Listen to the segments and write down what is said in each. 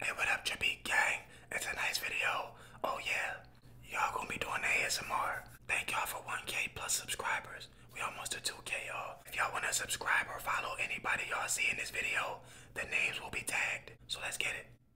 Hey, what up, Chippy Gang? It's a nice video. Oh, yeah. Y'all gonna be doing ASMR. Thank y'all for 1K plus subscribers. We almost to 2K, y'all. If y'all wanna subscribe or follow anybody y'all see in this video, the names will be tagged. So let's get it.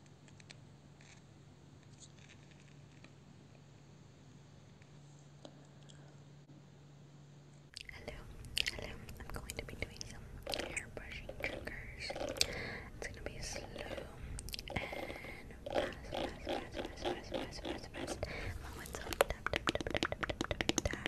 Hello, hello. I'm going to be doing some hair triggers. It's gonna be slow and fast, fast, fast, fast, fast, fast, fast, fast. Along with tap, tap, tap, tap, tap, tap, tap,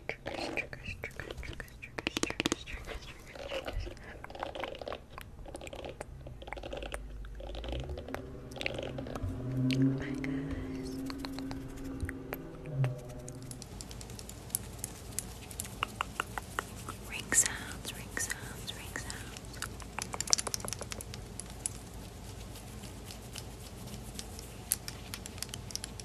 triggers, triggers, triggers, triggers, triggers, triggers, triggers, triggers, triggers. Bye guys. Ring sounds, ring sounds, ring sounds.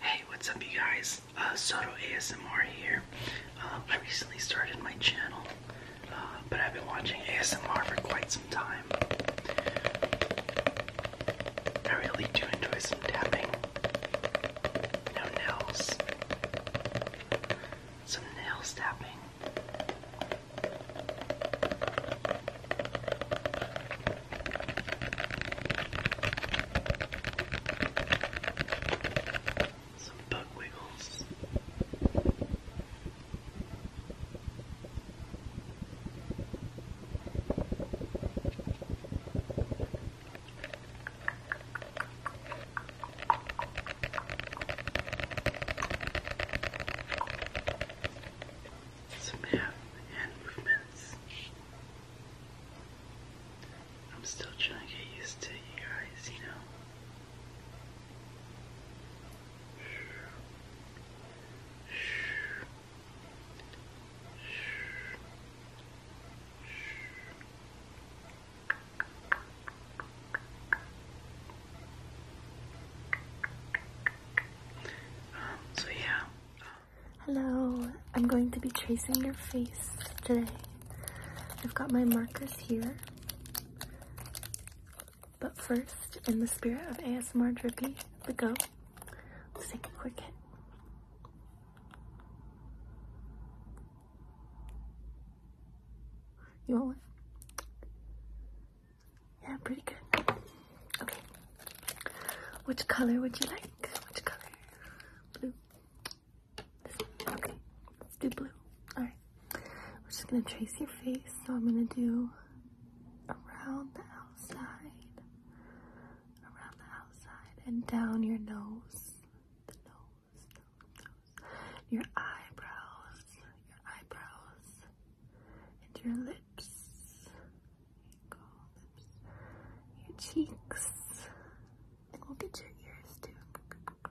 Hey, what's up, you guys? Uh, Soto ASMR here. Um, I recently started my channel, uh, but I've been watching ASMR for quite some time. I really do enjoy some tapping, no nails, some nails tapping. Some bug wiggles. Some hand movements. I'm still trying to get used to you guys. you know. Shh. Shh. Shh so yeah. Hello, I'm going to be tracing your face today. I've got my markers here. But first, in the spirit of ASMR Drippy, the go. let's take a quick hit. You want one? Yeah, pretty good. Okay. Which color would you like? Which color? Blue. Okay. Let's do blue. Alright. We're just gonna trace your face. So I'm gonna do around the outside. Around the outside and down your nose. nose. Your eyebrows, your eyebrows, and your lips. Your cheeks. And we'll get your ears too.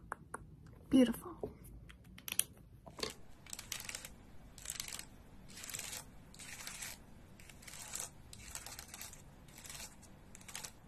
Beautiful.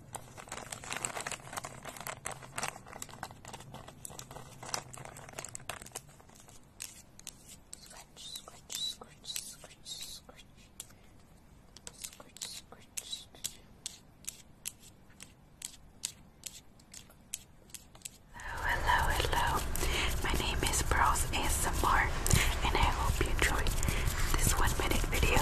Scratch, scratch, scratch, scratch, scratch. Scratch, scratch, scratch. Hello, hello, hello. My name is Browse ASMR and I hope you enjoyed this one minute video.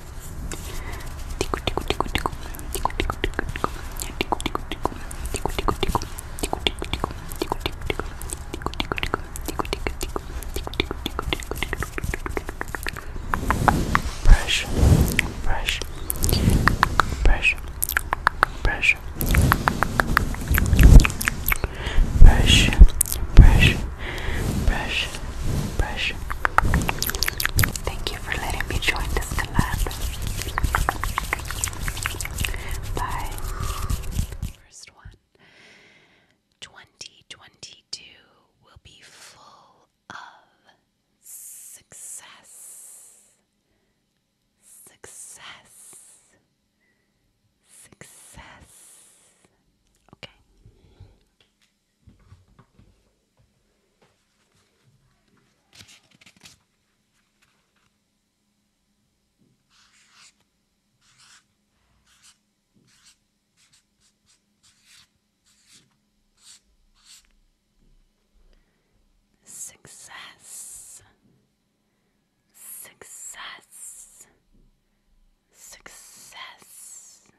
Brush, brush, brush, brush, brush, brush, brush, brush. Thank you for letting me join this First one 2022 will be full of success. Success. Success. Okay. Success, success, success,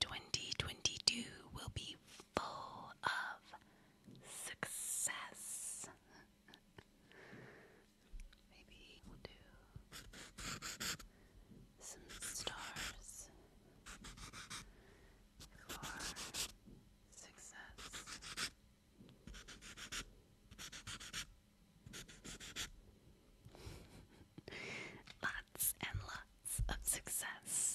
2022 will be full of success. Maybe we'll do some stars for success. lots and lots of success.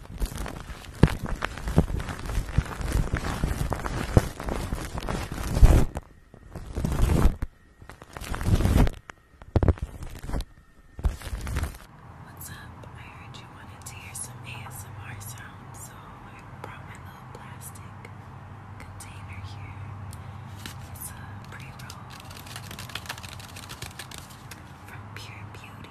What's up? I heard you wanted to hear some ASMR sounds, so I brought my plastic container here. It's a pre roll from Pure Beauty.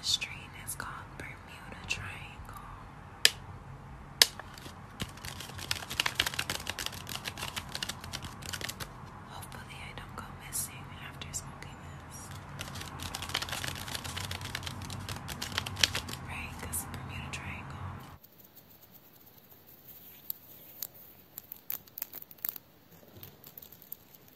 The strain is called Bermuda Triangle. Hopefully, I don't go missing after smoking this. Right, because Bermuda Triangle.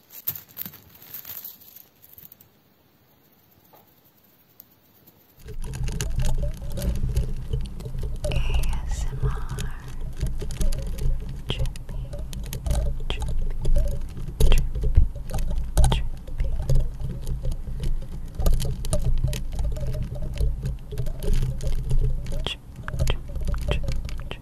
ASMR Drippy, drippy, drippy, drippy. Drip, drip, drip, drip,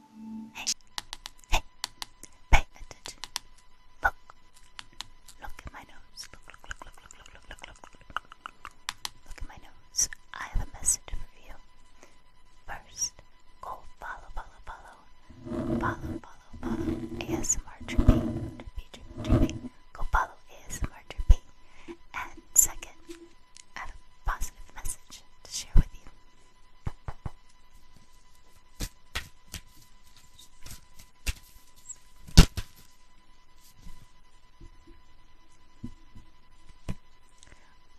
hey, pay attention. Look, look at my nose. Look, look, look, look, look, look, look, look, look. Look at my nose. I have a message for you. First, go follow, follow, follow, follow, follow, follow. ASMR Drippy, Drippy, Drippy, Drippy. Go follow ASMR Drippy. And second, I have a positive message to share with you.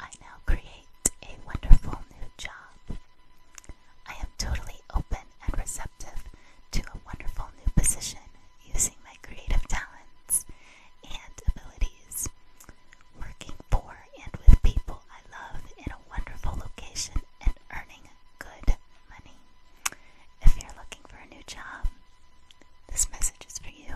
I now create a wonderful new job. I am totally open and receptive to a wonderful new position using my creative talents and abilities working for and with people I love in a wonderful location and earning good money. If you're looking for a new job, this message is for you.